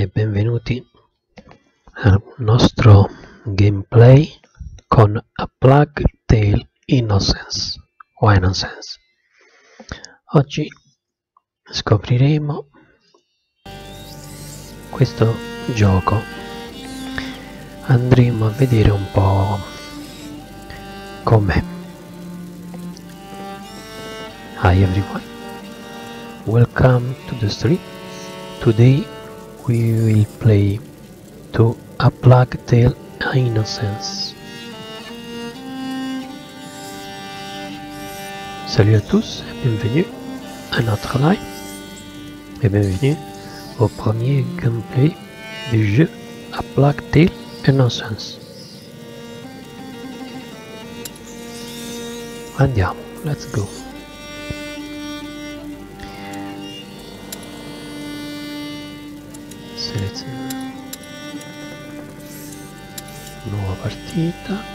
E benvenuti al nostro gameplay con A Plague Tale Innocence o Innocence. Oggi scopriremo questo gioco. Andremo a vedere un po' com'è. Hi everyone. Welcome to the street. Today we will play to A Plague Tale Innocence. Salut à tous, bienvenue à notre live et bienvenue au premier gameplay du jeu A Plague Tale Innocence. Andiamo, let's go. Selezioniamo. Nuova partita.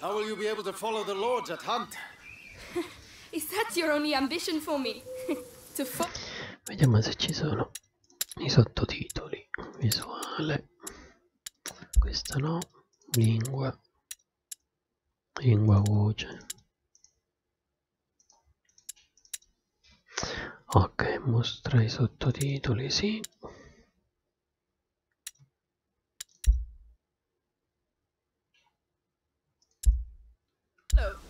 How will you be able to follow the lords at hunt? Is that your only ambition for me? to fo- Vediamo se ci sono i sottotitoli visuale questa no lingua lingua voce ok mostra i sottotitoli sì Hello.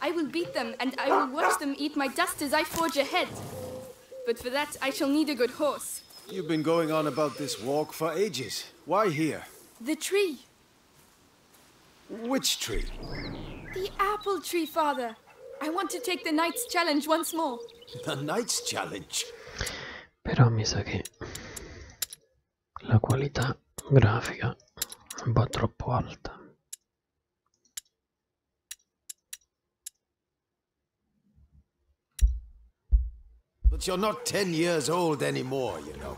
I will beat them, and I will watch them eat my dust as I forge ahead. But for that, I shall need a good horse. You've been going on about this walk for ages. Why here? The tree. Which tree? The apple tree, father. I want to take the knight's challenge once more. The knight's challenge? Però mi sa che la qualità grafica va troppo alta. But you're not ten years old anymore, you know.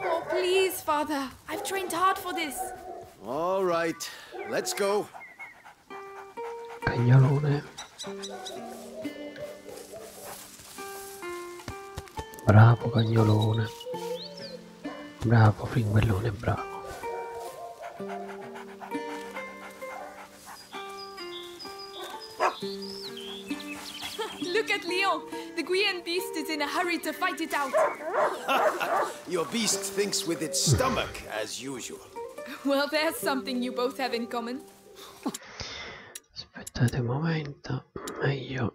Oh, please, Father. I've trained hard for this. All right. Let's go. Peñol Bravo, peñol Look at Leon. The Guian beast is in a hurry to fight it out. Your beast thinks with its stomach, as usual. Well, there's something you both have in common. Aspettate un momento, meglio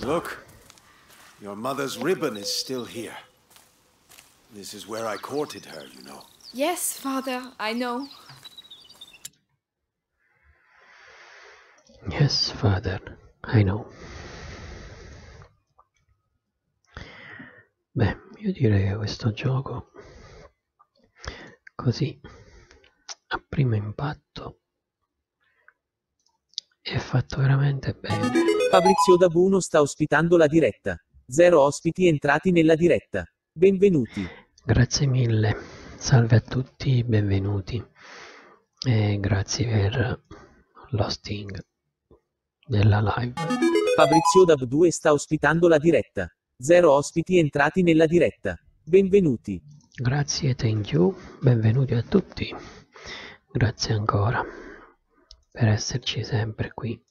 Look, your mother's ribbon is still here. This is where I courted her, you know. Yes, father, I know. Yes, father, I know. Beh, io direi che questo gioco, così, a primo impatto, è fatto veramente bene. Fabrizio Dabuno sta ospitando la diretta. Zero ospiti entrati nella diretta. Benvenuti. Grazie mille. Salve a tutti, benvenuti. E grazie per l'hosting della live. Fabrizio Dab 2 sta ospitando la diretta. Zero ospiti entrati nella diretta. Benvenuti. Grazie, thank you. Benvenuti a tutti. Grazie ancora per esserci sempre qui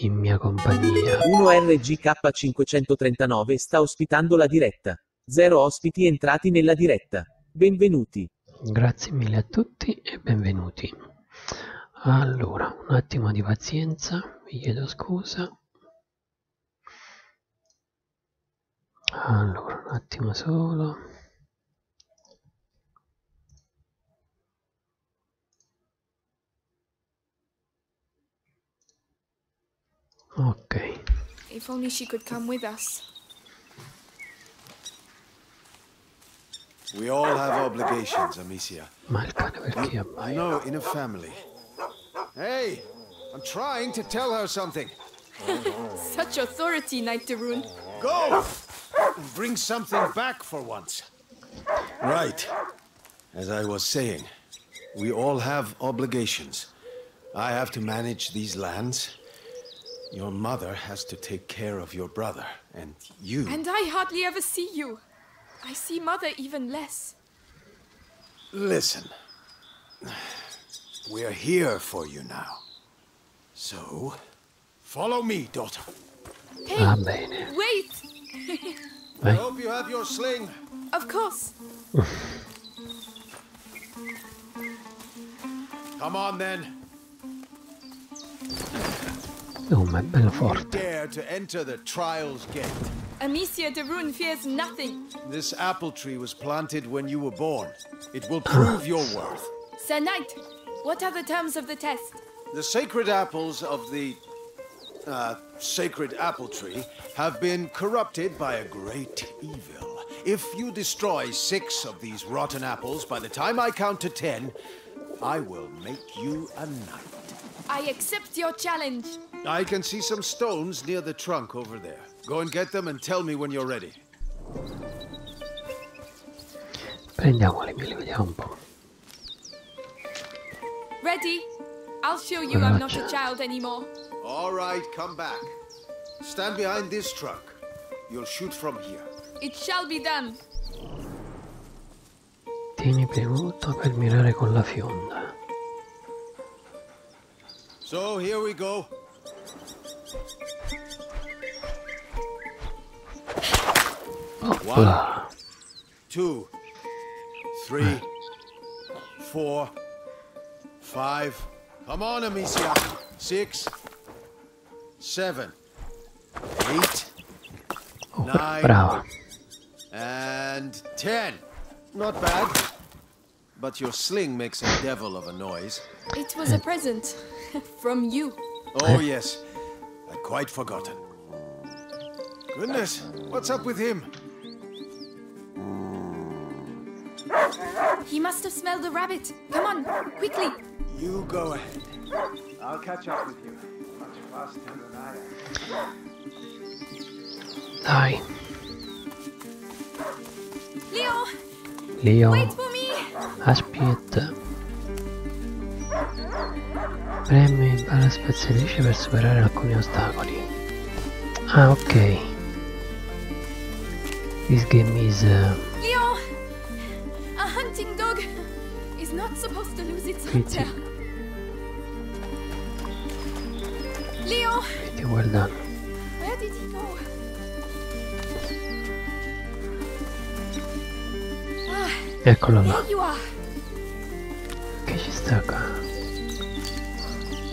in mia compagnia. 1RGK539 sta ospitando la diretta. Zero ospiti entrati nella diretta. Benvenuti. Grazie mille a tutti e benvenuti. Allora, un attimo di pazienza, vi chiedo scusa. Allora, un attimo solo. Ok. If only she could come with us. We all have obligations, Amicia. I know in a family. Hey, I'm trying to tell her something. Such authority, Knight Darun. Go! Bring something back for once. Right. As I was saying, we all have obligations. I have to manage these lands. Your mother has to take care of your brother, and you... And I hardly ever see you. I see mother even less. Listen. We're here for you now. So, follow me, daughter. Hey, ah, wait! I hope you have your sling. Of course. Come on then. Oh, my Belfort. Dare to enter the trials gate. Amicia de Rune fears nothing. This apple tree was planted when you were born. It will prove your worth. Sir Knight, what are the terms of the test? The sacred apples of the uh, sacred apple tree have been corrupted by a great evil. If you destroy six of these rotten apples by the time I count to ten, I will make you a knight. I accept your challenge. I can see some stones near the trunk over there. Go and get them and tell me when you're ready. Prendiamo le un po'. Ready? I'll show you I'm not a child anymore. All right, come back. Stand behind this trunk. You'll shoot from here. It shall be done. Tieni premuto per mirare con la fionda. So here we go. One, two, three, four, Five. Come on, Amicia. Six, seven, eight, oh, nine, And ten. Not bad. But your sling makes a devil of a noise. It was a present. From you. Oh, yes. I'd quite forgotten. Goodness, what's up with him? He must have smelled the rabbit. Come on, quickly. You go ahead. I'll catch up with you. Much faster than I am. Dai. Leo. Leo. Wait for me. Aspetta. Premi alla spezia 10 per superare alcuni ostacoli. Ah, ok. This game is. Uh, a hunting dog is not supposed to lose its pretty. tail. Leo, pretty well done. Where did he go? Ah, Eccolo là. Che ci sta qua?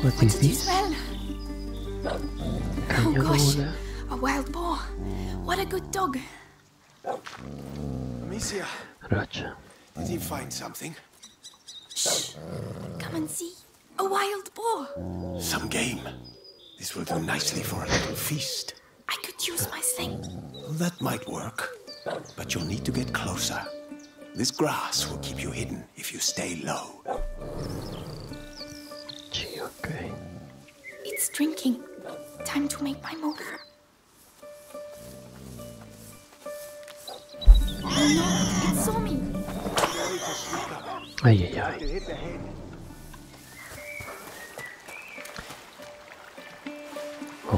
What, What is this? Oh gosh, a wild boar. What a good dog. Amicia. Racha. Did he find something? Shh. Come and see. A wild boar. Some game. This will do nicely for a little feast. I could use my sling. That might work. But you'll need to get closer. This grass will keep you hidden if you stay low. Gee, It's drinking. Time to make my move. no, it saw me. Ay, ay,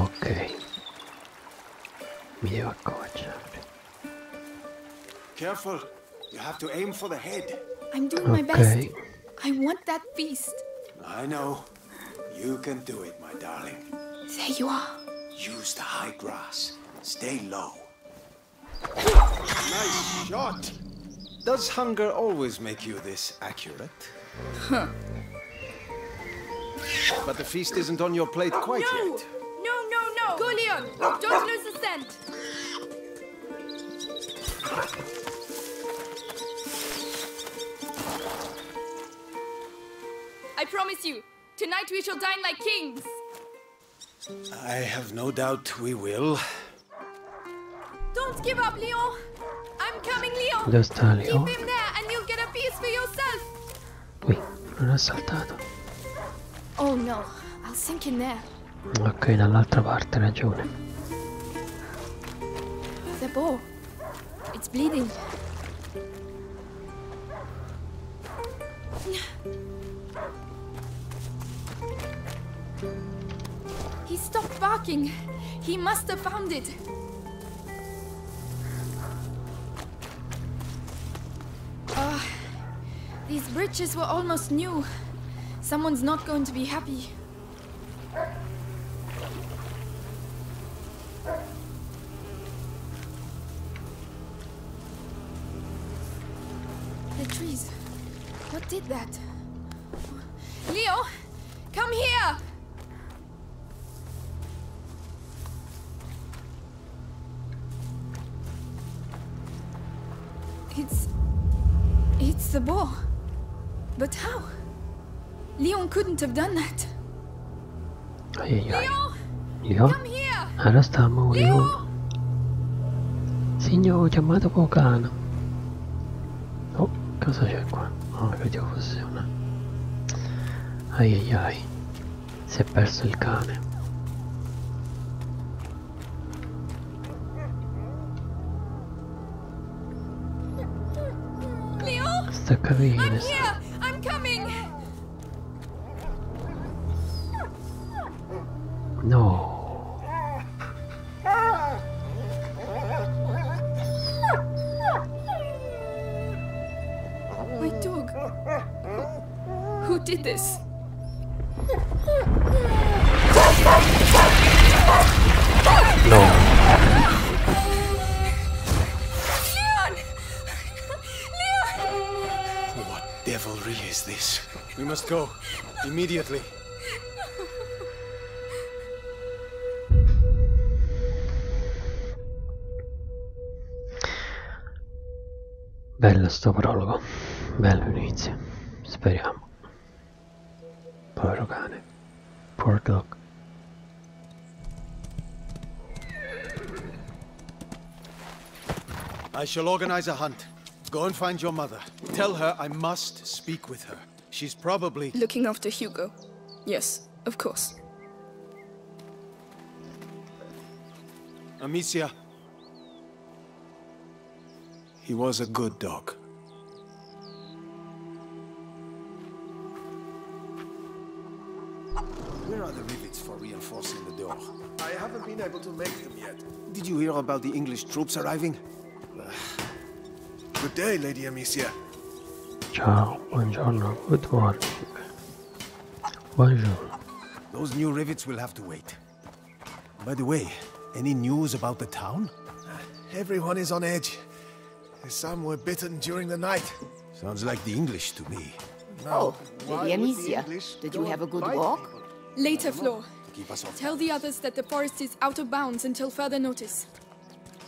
Okay. Miért a Careful! You have to aim for the head. I'm doing my best. I want that feast. I know. You can do it, my darling. There you are. Use the high grass. Stay low. nice shot. Does hunger always make you this accurate? Huh. But the feast isn't on your plate quite no! yet. No, no, no! no, Leon! Don't lose the scent! I promise you, tonight we shall dine like kings. I have no doubt we will. Don't give up, Leon. I'm coming, Leon. Ya está, Leon. Keep him there and you'll get a piece for yourself. Uy, no has saltado. Oh no, I'll sink in there. Ok, dall'altra parte, ragione. The bow. It's bleeding. He stopped barking. He must have found it. Oh, These bridges were almost new. Someone's not going to be happy. The trees. What did that? Leo! Come here! It's... It's the bow. But how? Leon couldn't have done that. Ai, ai, ai. Leon? Alla stiamo, Leon. Leon. Signore, ho chiamato Pokana. Oh, cosa c'è qua? Oh, credevo fosse una... Ai ai ai. Si è perso il cane. the I'm, I'm coming. No. My dog. who did this? No. Leon! Leon! What devilry is this? We must go. Immediately. Välja sto prologo. Bello inizio. Speriamo. Poor Poor dog. I shall organize a hunt. Go and find your mother. Tell her I must speak with her. She's probably... Looking after Hugo. Yes, of course. Amicia. He was a good dog. Where are the rivets for reinforcing the door? I haven't been able to make them yet. Did you hear about the English troops arriving? Good day, Lady Amicia. Ciao, buongiorno, good Those new rivets will have to wait. By the way, any news about the town? Everyone is on edge. Some were bitten during the night. Sounds like the English to me. Now, oh, Lady Amicia, did you have a good walk? Later, Flo. Tell the others that the forest is out of bounds until further notice.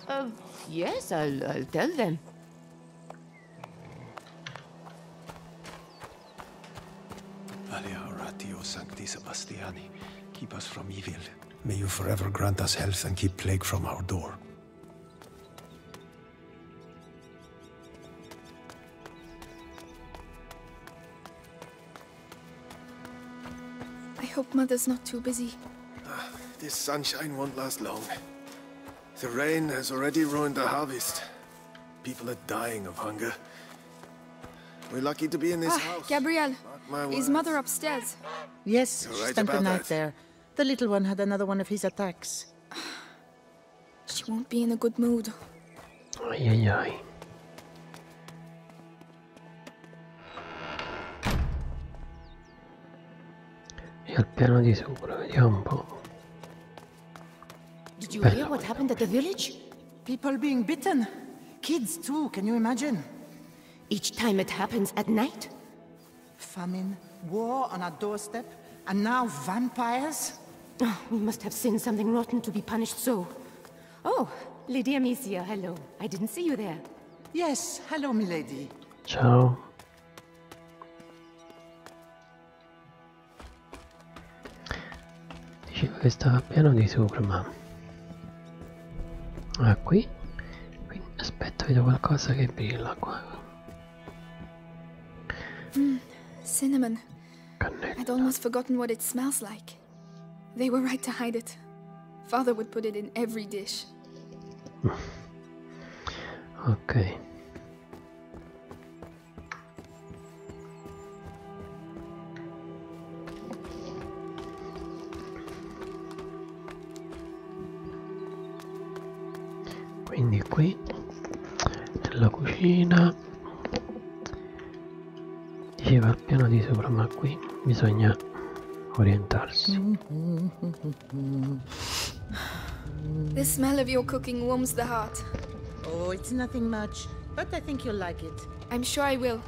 Uh, yes, I'll tell them. Alia sancti Sebastiani, keep us from evil. May you forever grant us health and keep plague from our door. I hope Mother's not too busy. Ah, this sunshine won't last long. The rain has already ruined the harvest. People are dying of hunger, we're lucky to be in this ah, house. Gabrielle, is mother upstairs? Yes, she spent the night there. The little one had another one of his attacks. she won't be in a good mood. Ay, ay, ay. piano di sopra, vediamo un po'. Did you hear what happened at the village? People being bitten. Kids, too, can you imagine? Each time it happens at night? Famine, war on our doorstep, and now vampires? Oh, we must have sinned something rotten to be punished so. Oh, Lydia Amicia, hello. I didn't see you there. Yes, hello, milady. So dicevo ah, che hmm, I'd almost forgotten what it smells like they were right to hide it father would put it in every dish ok quindi qui nella cucina diceva al piano di sopra ma qui bisogna orientarsi The smell of your cooking warms the heart. Oh, it's nothing much, but I think you'll like it. I'm sure I will.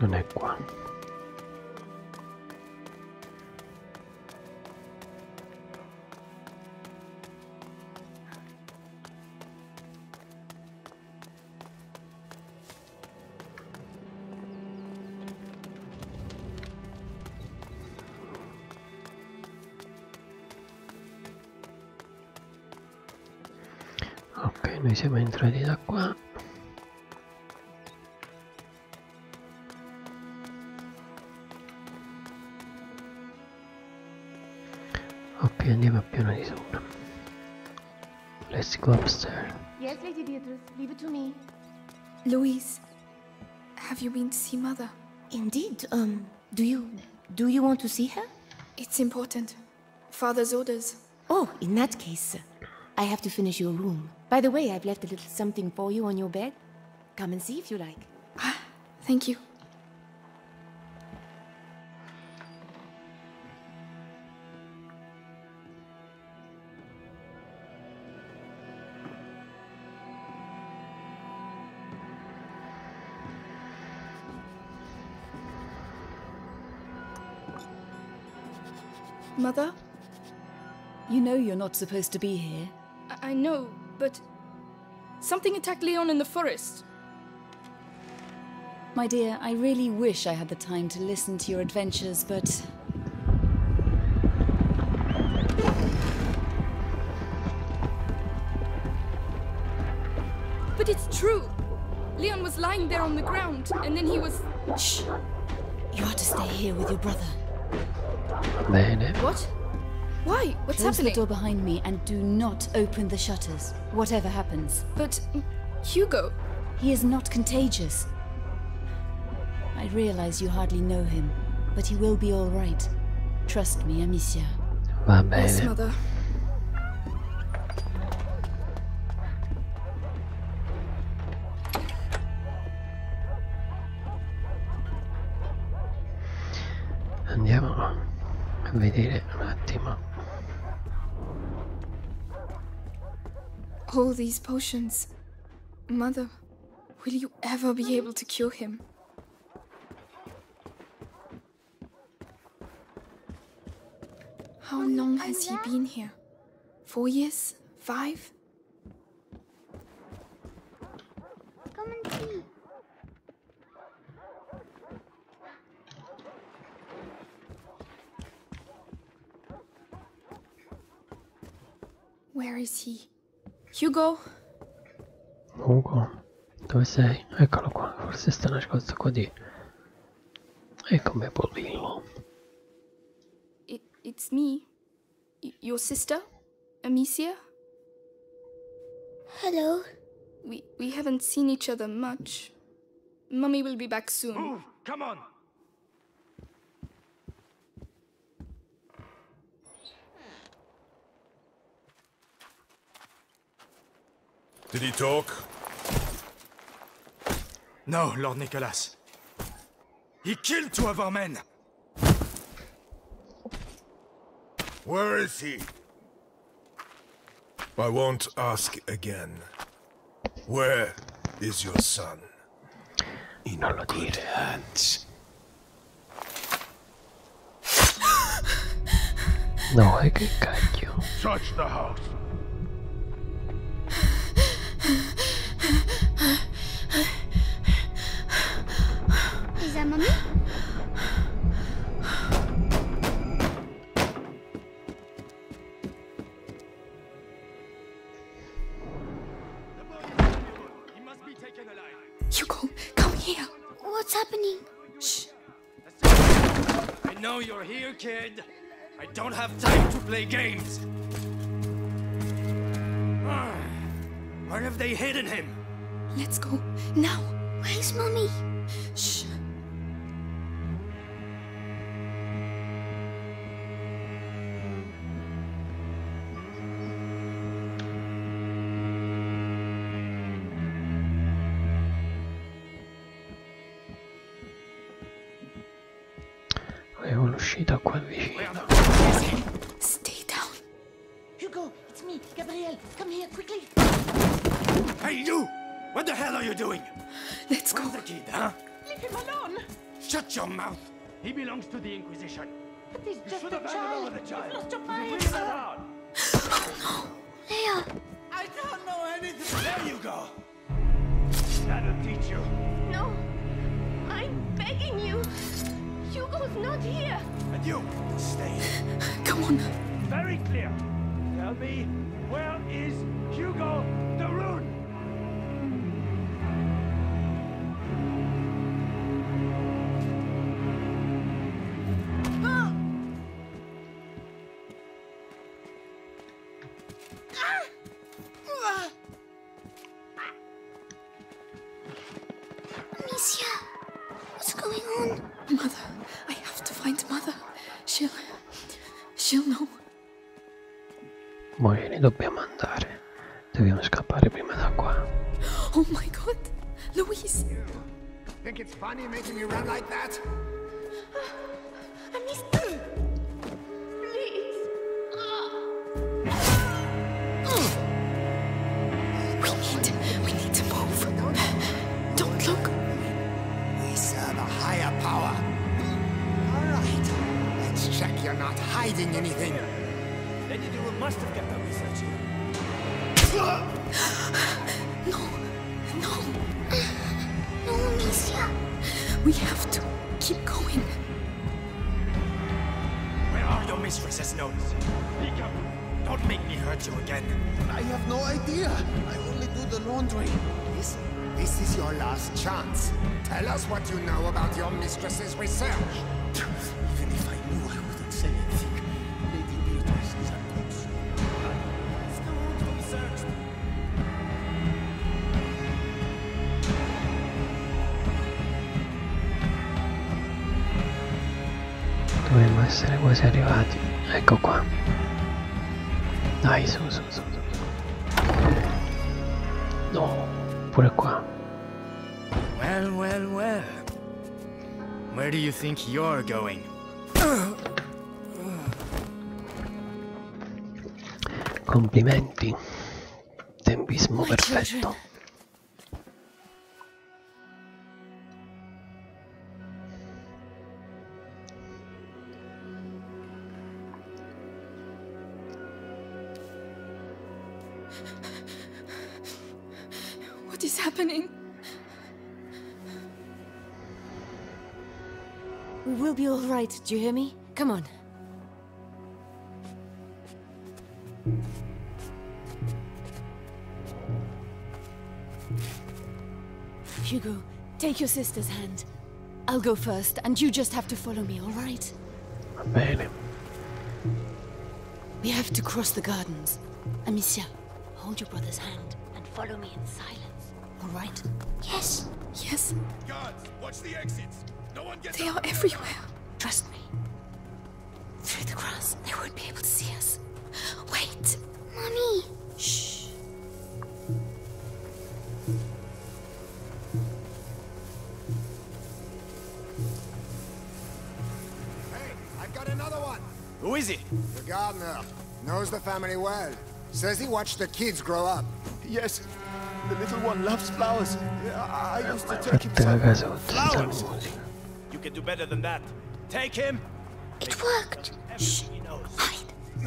Non è qua. ok noi siamo entrati da qua ok andiamo a piano di sopra let's go upstairs yes lady beatrice leave it to me louise Have you been to see Mother? Indeed. Um, do you... do you want to see her? It's important. Father's orders. Oh, in that case, I have to finish your room. By the way, I've left a little something for you on your bed. Come and see if you like. Ah, thank you. Mother? You know you're not supposed to be here. I, know, but something attacked Leon in the forest. My dear, I really wish I had the time to listen to your adventures, but but it's true. Leon was lying there on the ground, and then he was... Shh! You are to stay here with your brother. What? Why? What's Close happening? the door behind me and do not open the shutters, whatever happens. But... Hugo... He is not contagious. I realize you hardly know him, but he will be all right. Trust me, Amicia. My baby. Yes, mother. Andiamo a vedere un attimo. All these potions. Mother, will you ever be able to cure him? How long has he been here? Four years? Five? Come and see. Where is he? Hugo? Hugo? Dove sei? Eccolo qua, forse sta nascosto qua di... E come Polillo. It, it's me. your sister? Amicia? Hello. We, we haven't seen each other much. Mummy will be back soon. Come on! Did he talk? No, Lord Nicholas. He killed two of our men! Where is he? I won't ask again. Where is your son? In our good hands. No, I can guide you. Search the house. Is that mommy? Hugo, come here. What's happening? Shh. I know you're here, kid. I don't have time to play games. Where have they hidden him? Let's go. Now. Where's mommy? Shh. Avevo l'uscita qua vicino. Stay down. Hugo, it's me, Gabriel. Come here quickly. Hey you! What the hell are you doing? Let's go. Where's the kid, huh? Leave him alone. Shut your mouth. He belongs to the Inquisition. But he's you just a child. a child. He's lost a mind. oh no, Leia. I don't know anything. There you go. That'll teach you. No, I'm begging you. Hugo's not here. And you, stay. Come on. Very clear. Tell me, where is Hugo the Rune? what's going on? Mother, mother. I have to find She'll, know. Morini dobbiamo andare. Dobbiamo scappare prima da qua. Oh my god, Louise! think it's funny making me run like that? I missed you. Please. Ah. We need, we need to move. Don't look. We serve a higher power. All right, let's check you're not hiding anything. Then you do a must We have to keep going. Where are your mistress's notes? Speak up! Don't make me hurt you again. I have no idea. I only do the laundry. This, this is your last chance. Tell us what you know about your mistress's research. Even if I knew, I would Dovremmo essere quasi arrivati. Ecco qua. Dai, su, su, su. No, pure qua. Well, well, well. Where do you think you're going? Complimenti. Tempismo perfetto. What is happening? We will be all right, do you hear me? Come on. Hugo, take your sister's hand. I'll go first, and you just have to follow me, all right? Bene. We have to cross the gardens. Amicia, hold your brother's hand and follow me in silence. All right? Yes. Yes. Guards, watch the exits. No one gets They are everywhere. Trust me. Through the grass, they won't be able to see us. Wait. Mommy. Shh. Hey, I've got another one. Who is it? The gardener. Knows the family well. Says he watched the kids grow up. Yes, the little one loves flowers. I used to take him some flowers. You can do better than that. Take him. It worked. Shh. Hide.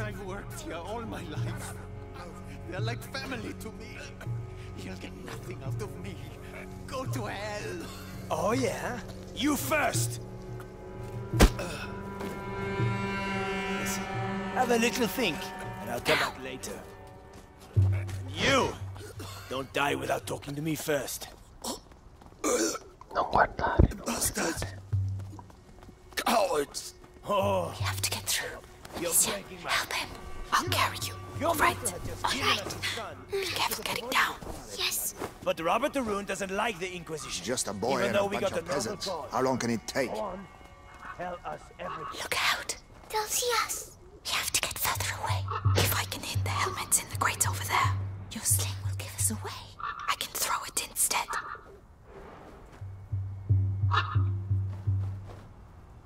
I've worked here all my life. They're like family to me. You'll get nothing out of me. Go to hell. Oh, yeah? You first! have a little think, and I'll come back later. you! Don't die without talking to me first. No guardare, no Bastards! Cowards! Oh. We have to get through. You're help him. I'll carry you. You're All right. All right. Be careful getting down. Yes. But Robert the Rune doesn't like the Inquisition. Just a boy and a bunch of peasants. How long can it take? Look out. They'll see us. We have to get further away. If I can hit the helmets in the crate over there, your sling will give us away. I can throw it instead.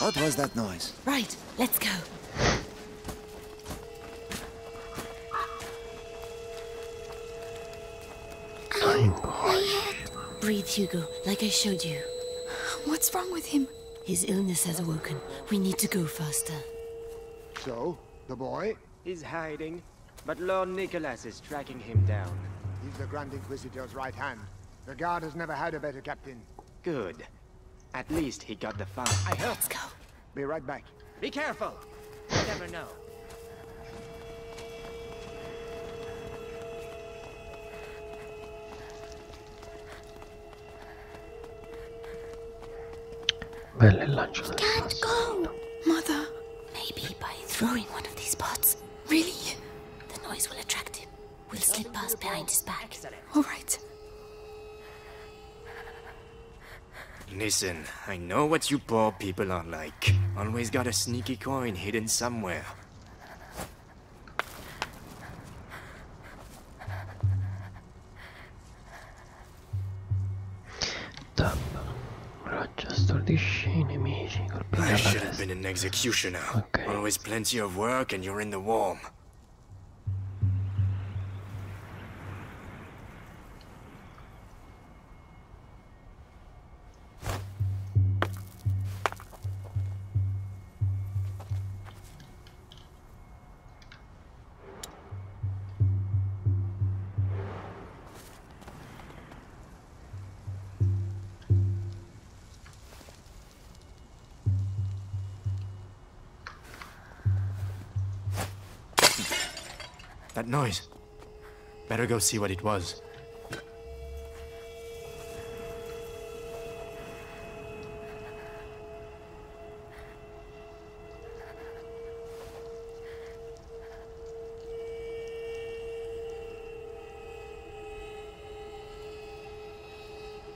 What was that noise? Right, let's go. Breathe, Hugo, like I showed you. What's wrong with him? His illness has awoken. We need to go faster. So, the boy? He's hiding, but Lord Nicholas is tracking him down. He's the Grand Inquisitor's right hand. The guard has never had a better captain. Good. At least he got the fire. I heard. let go. Be right back. Be careful. never know. Belle'Angelo. Can't go, Mother. Maybe by throwing one of these pots. Really? The noise will attract him. We'll slip past behind his back. All right. Listen, I know what you poor people are like. Always got a sneaky coin hidden somewhere. I should have been an executioner. Always plenty of work and you're in the warm. That noise. Better go see what it was.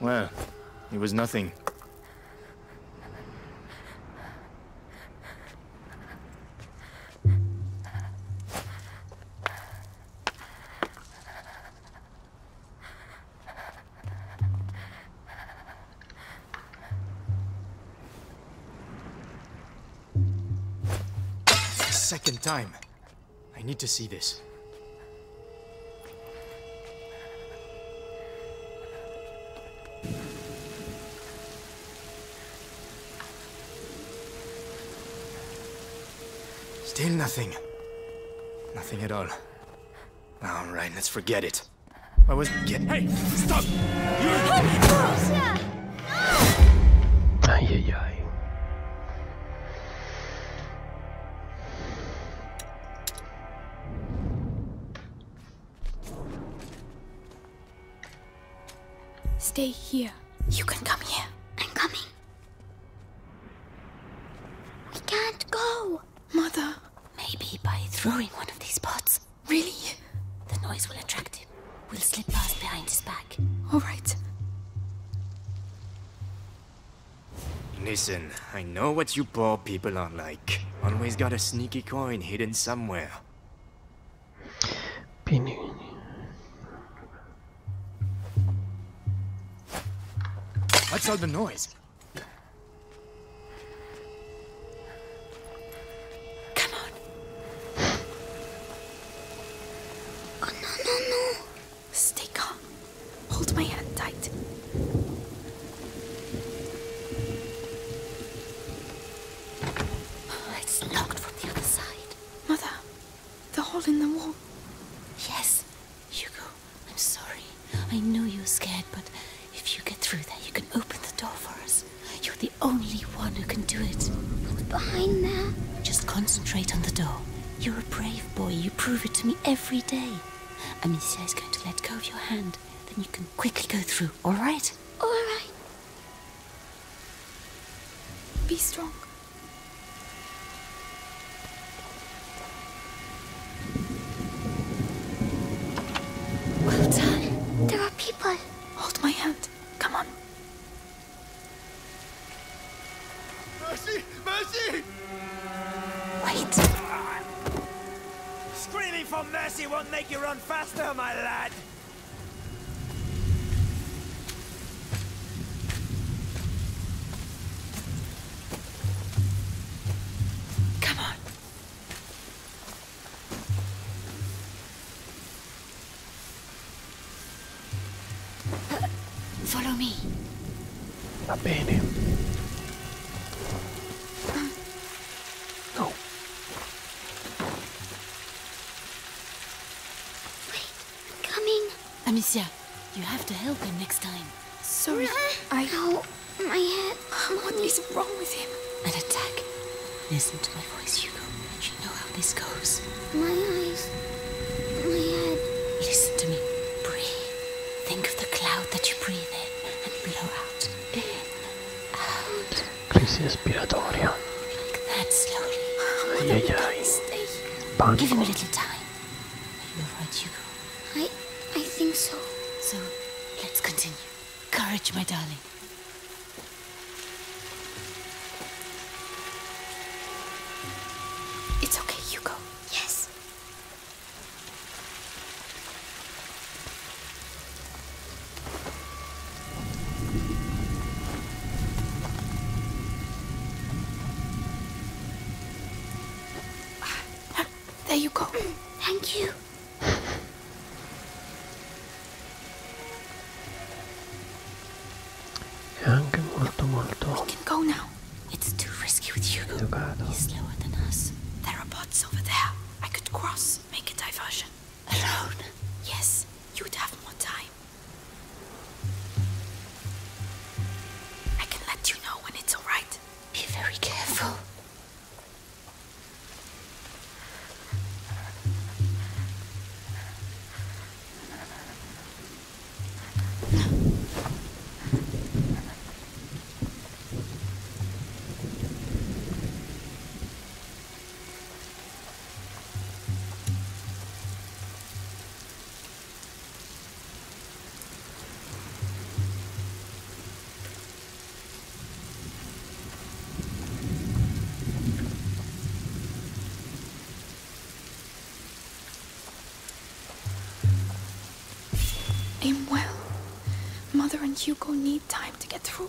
Well, it was nothing. Second time. I need to see this. Still nothing. Nothing at all. All right, let's forget it. I was get. Hey, stop! You're. Ay, ay, ay. Stay here. You can come here. I'm coming. We can't go! Mother! Maybe by throwing one of these pots. Really? The noise will attract him. We'll slip past behind his back. All right. Listen, I know what you poor people are like. Always got a sneaky coin hidden somewhere. Pinning. What's all the noise? Come on. Oh, no, no, no. Stay calm. Hold my hand tight. It's locked from the other side. Mother, the hole in the wall. Yes, you go. I'm sorry. I know you're scared, but if you get through there, you can open the door for us. You're the only one who can do it. What's behind there? Just concentrate on the door. You're a brave boy. You prove it to me every day. Amicia is going to let go of your hand. Then you can quickly go through, all right? All right. Be strong. Well done. There are people. Hold my hand. Come on. Mercy! Mercy! Wait. Screaming for mercy won't make you run faster, my lad. Come on. Uh, follow me. Va bene. Go coming. Amicia, you have to help him next time. Sorry, I... No, my head. What is wrong with him? An attack. Listen to my voice, Hugo. You know how this goes. My eyes. My head. Listen to me. Breathe. Think of the cloud that you breathe in and blow out. In. Out. Crisis respiratoria. Like that, slowly. Ay, ay, ay. Give him a little time. You're right, Hugo. I... I think so. So, let's continue. Courage, my darling. It's okay, you go. Yes. There you go. Thank you. È anche molto molto. We can go now. It's too risky with Hugo. Educato. He's slower than us. There are bots over there. I could cross, make a diversion. Alone? Yes, you'd have more time. I can let you know when it's alright. Be very careful. Aim well. Mother and Hugo need time to get through.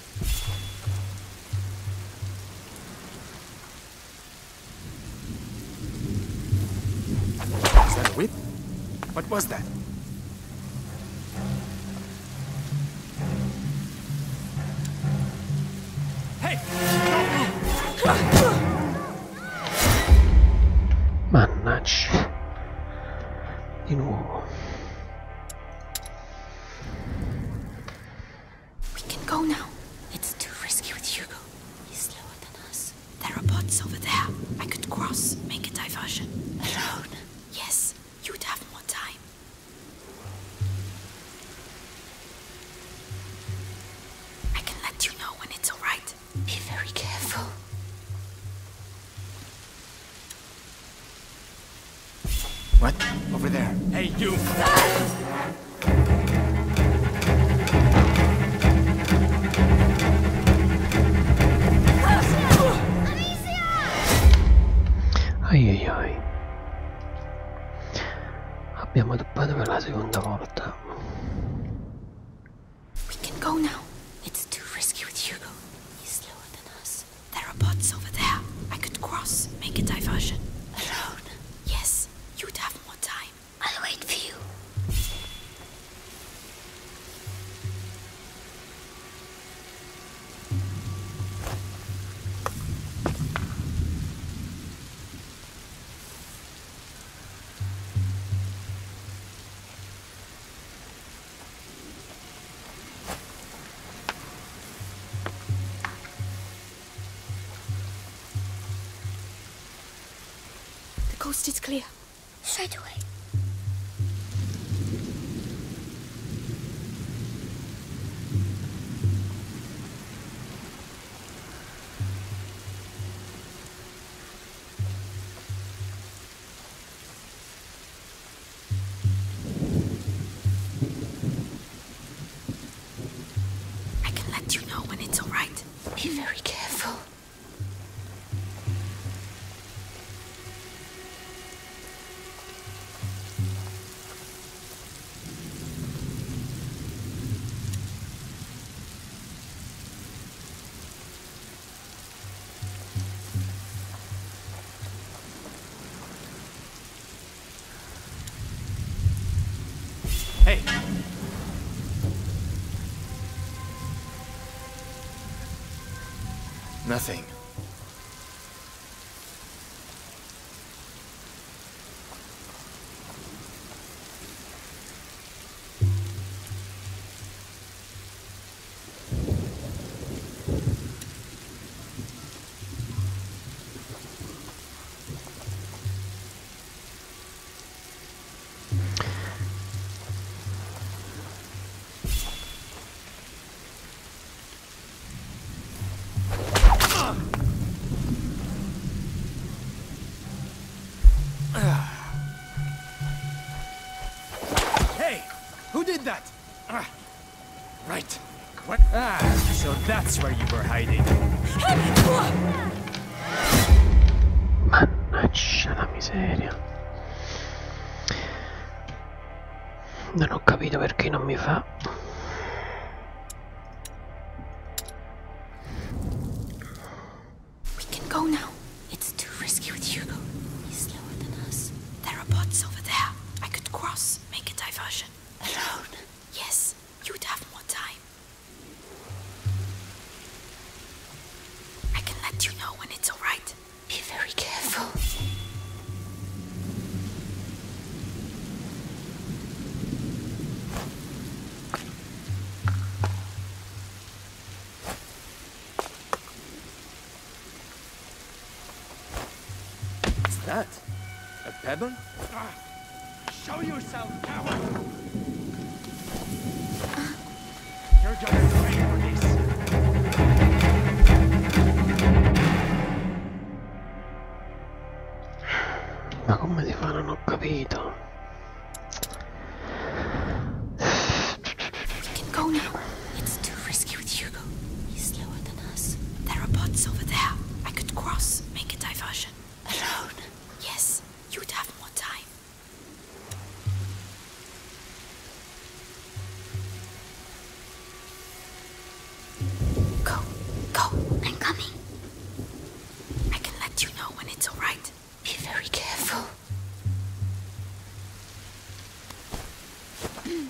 Is that What was that? Hey! Mannaggia. Di nuovo. We can go now. It's too risky with Hugo. He's slower than us. There are bots over there. I could cross, make a diversion. Alone? Yes, you'd have more time. I can let you know when it's alright. Be very careful. What? Over there. Hey, you! Ai ai ai. Abbiamo doppato per la seconda volta. We can go now. It's too risky with Hugo. He's slower than us. There are boats over there. I could cross, make a diversion. Alone? Yes, you'd have more time. I'll wait for you. The coast is clear. Straight away. I can let you know when it's alright. Be very careful. Hey. Nothing. Hey! Who did that? Right. What? Ah, so that's where you were hiding. Mannaggia la miseria. Non ho capito perché non mi fa. We can go now. It's too risky with Hugo. He's slower than us. There are bots over there. I could cross, make a diversion. Alone. Yes, you'd have more time. I can let you know when it's alright. Be very careful. What's that? A pebble? Ah, show yourself, coward! You're gonna for this! Ma come si fa? Non It can go now. It's too risky with you he's slower than us. There are bots over there. I could cross, make a diversion. Alone? Yes, you'd have more time. Go, go, I'm coming. I can let you know when it's alright. Be very careful.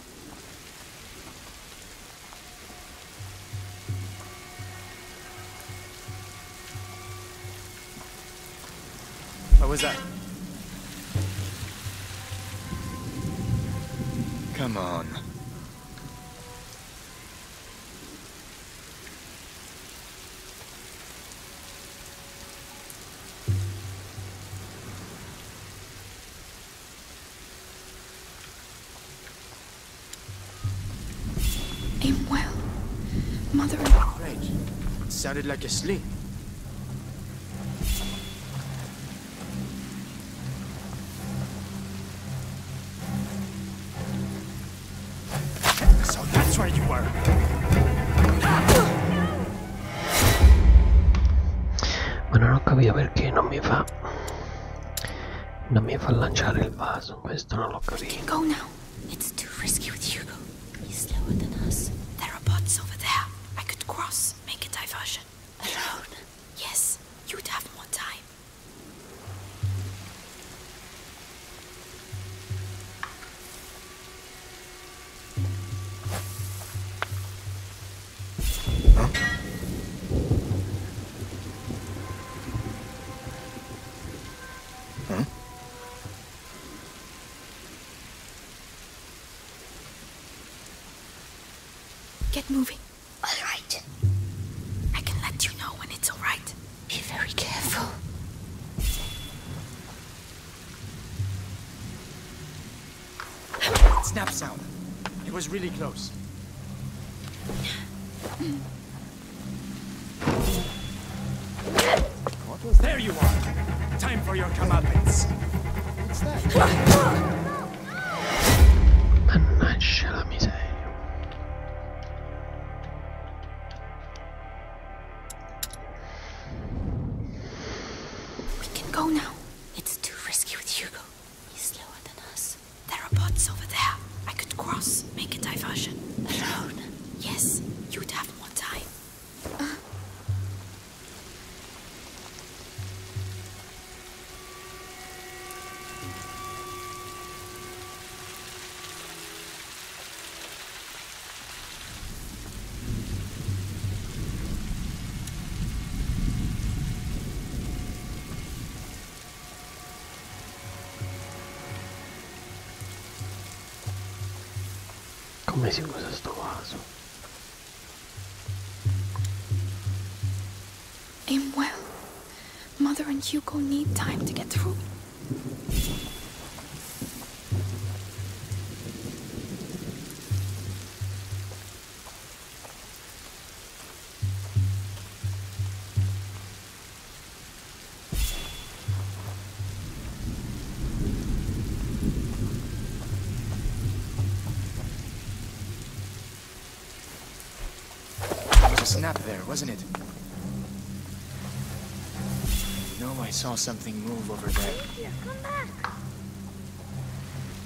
What was that? Come on. Aim well. Mother It sounded like a sling. So that's where you were. Bueno, no cabía ver que no me va. Non mi fa lanciare il vaso, questo non l'ho capito. Go now. It's too risky with Hugo. He's slower than us. There are bots over there. I could cross, make a diversion. Alone? Yes, you'd have more time. Get moving. All right. I can let you know when it's all right. Be very careful. Snap sound. It was really close. There you are. Time for your comeuppance. What's that? Mannaggia miseria. We can go now. It's too risky with Hugo. He's slower than us. There are bots over there. I could cross, make a diversion. Alone? Yes, you'd have more time. Uh. Come si usa sto well. Mother and Hugo need time to get through snap there, wasn't it? I know I saw something move over there.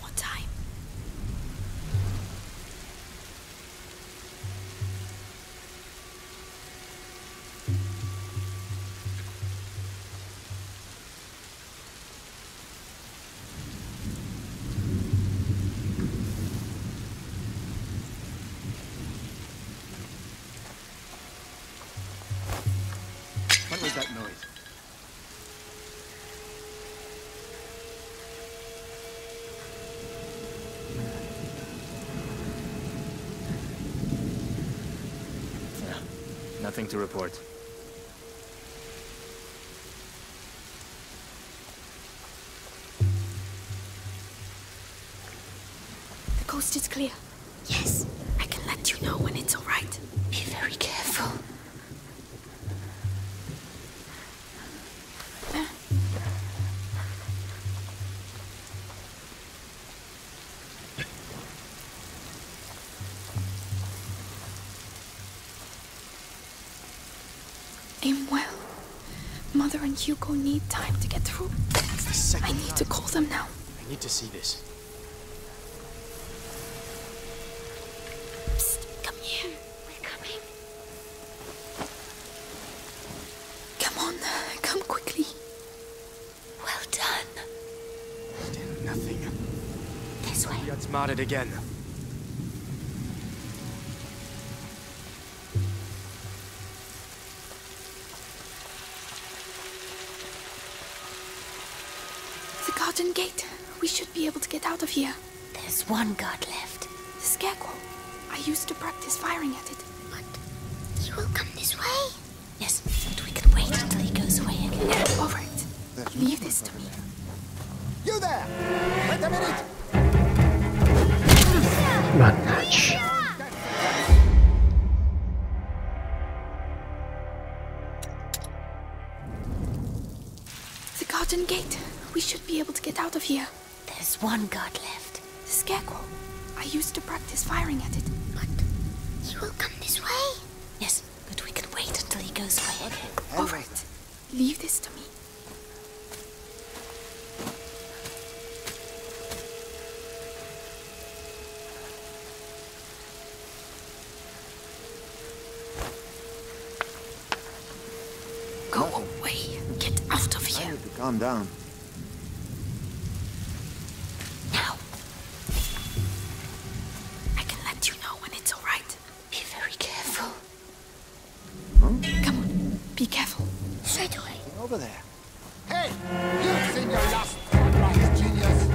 What time? What was that noise? Nothing to report. The coast is clear. Yes, I can let you know when it's all right. Be very careful. Aim well. Mother and Hugo need time to get through. I need to call them now. I need to see this come here. We're coming. Come on, come quickly. Well done. nothing. This way. We got smarted again should be able to get out of here. There's one guard left. The Scarecrow. I used to practice firing at it. But he will come this way. Yes, but we can wait until he goes away and get over it. Leave this to me. You there! Wait a minute! Run, Hutch. The garden gate. We should be able to get out of here. There's one guard left. The scarecrow. I used to practice firing at it. But he will come this way. Yes, but we can wait until he goes away. All right. Leave this to me. Go away. Get out of here. calm down. Now. I can let you know when it's all right. Be very careful. Come on. Be careful. Straight away. Over there. Hey! You've seen your last sunrise, genius!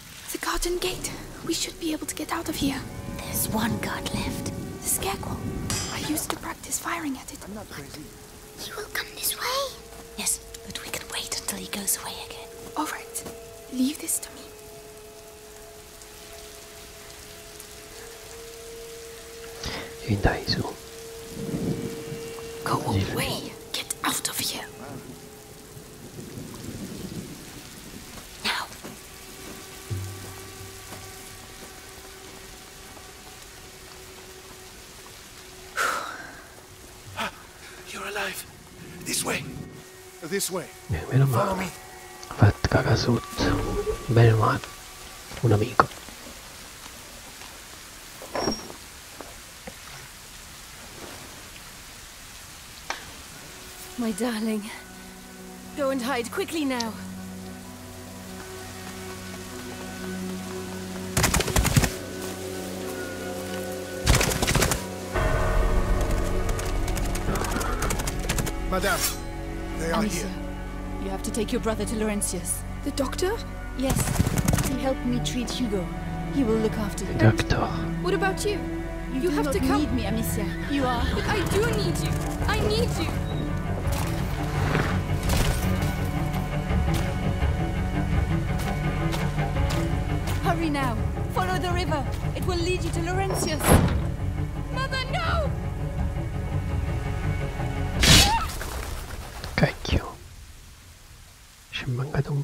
The garden gate. We should be able to get out of here. There's one guard left. The scarecrow. I used to practice firing at it. I'm not crazy. He will come this way. Yes, but we can wait until he goes away again. All right. Leave this to me. Go away! Get out of here! Now. You're alive. This way. This way. Meno Follow me. Vattakaa suutta. Mene vaan. Un amico. My darling. Go and hide quickly now. Madame, they are here. You have to take your brother to Laurentius. The doctor? Yes. He helped me treat Hugo. He will look after you. Doctor. What about you? You, you have to come. need me, Amicia. You are. But I do need you. I need you. Hurry now. Follow the river. It will lead you to Laurentius. Mother, no! Cacchio. Ci è mancato un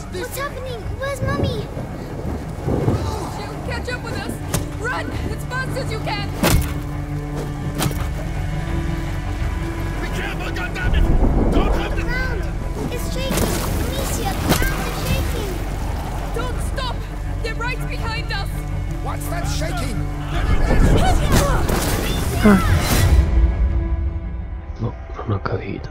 What's happening? Where's Mummy? catch up with us! Run! As fast as you can! Be careful, goddammit! Don't have the... It's shaking! Amicia, the ground is shaking! Don't stop! They're right behind us! What's that shaking? No, non ho capito.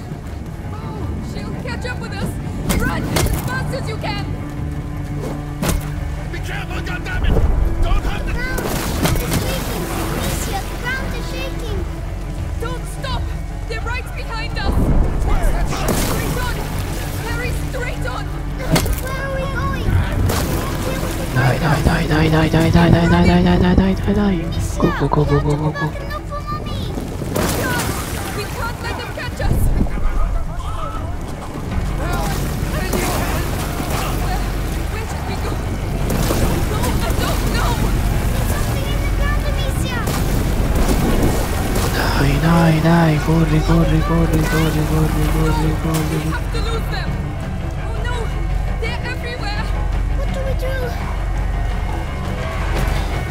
she'll catch up with us! Run as fast as you can! Be careful, goddammit! Don't hurt the... No! It's leaking! the ground is shaking! Don't stop! They're right behind us! Where? Straight on! Harry, straight on! Where are we going? Die, die, die, die, die, die, die, Helpful, We can't let them catch us! Help! Anyone! Where, where should we go? No, I don't know! Something in the ground, Amicia! Dai, We have to lose them! Oh no! They're everywhere! What do we do?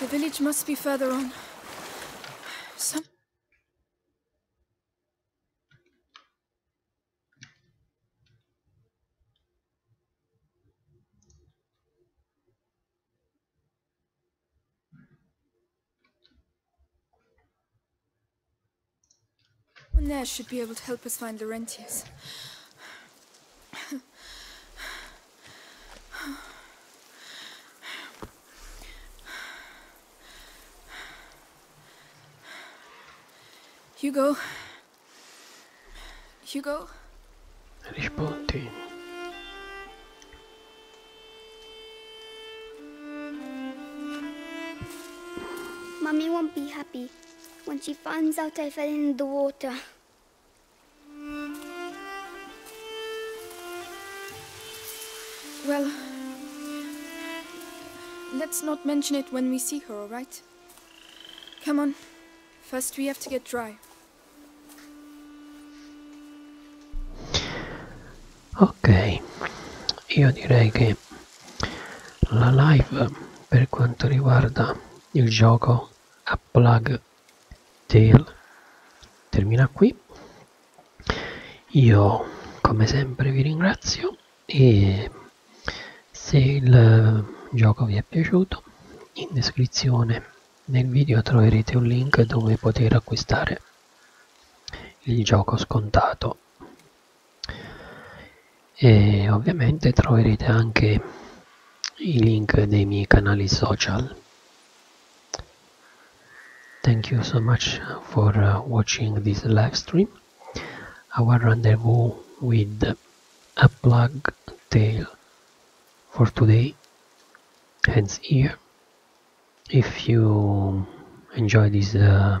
The village must be further on. Some... One there should be able to help us find Laurentius. Hugo. Hugo. Rispondi. Mommy won't be happy when she finds out I fell in the water. Well, let's not mention it when we see her, all right? Come on. First we have to get dry. Ok, io direi che la live per quanto riguarda il gioco a plug tail termina qui io come sempre vi ringrazio e se il eh, gioco vi è piaciuto in descrizione nel video troverete un link dove poter acquistare il gioco scontato e ovviamente troverete anche i link dei miei canali social Thank you so much for uh, watching this live stream. Our rendezvous with a plug tale for today ends here. If you enjoy this uh,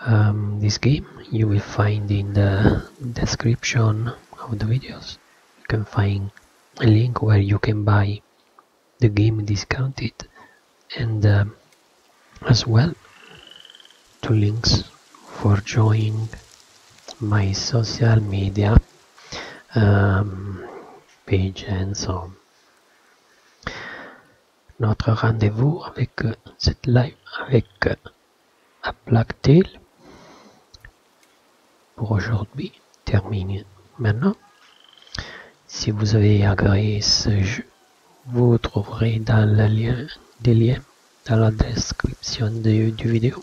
um, this game, you will find in the description of the videos you can find a link where you can buy the game discounted and um, as well two links for joining my social media um, page and so on. Notre rendez-vous avec euh, cette live avec à euh, Blacktail pour aujourd'hui termine maintenant. Si vous avez agréé ce jeu, vous trouverez dans lien des liens dans la description de, du vidéo.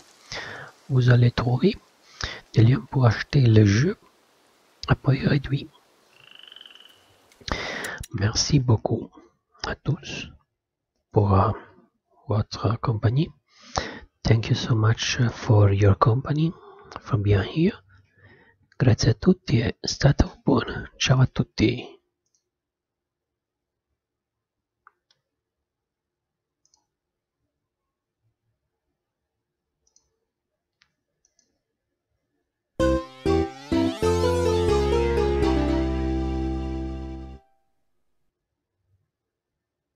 Vous allez trouver des liens pour acheter le jeu à prix réduit. Merci beaucoup à tous pour euh, Water Company. Thank you so much uh, for your company from behind here. Grazie a tutti e state Ciao a tutti.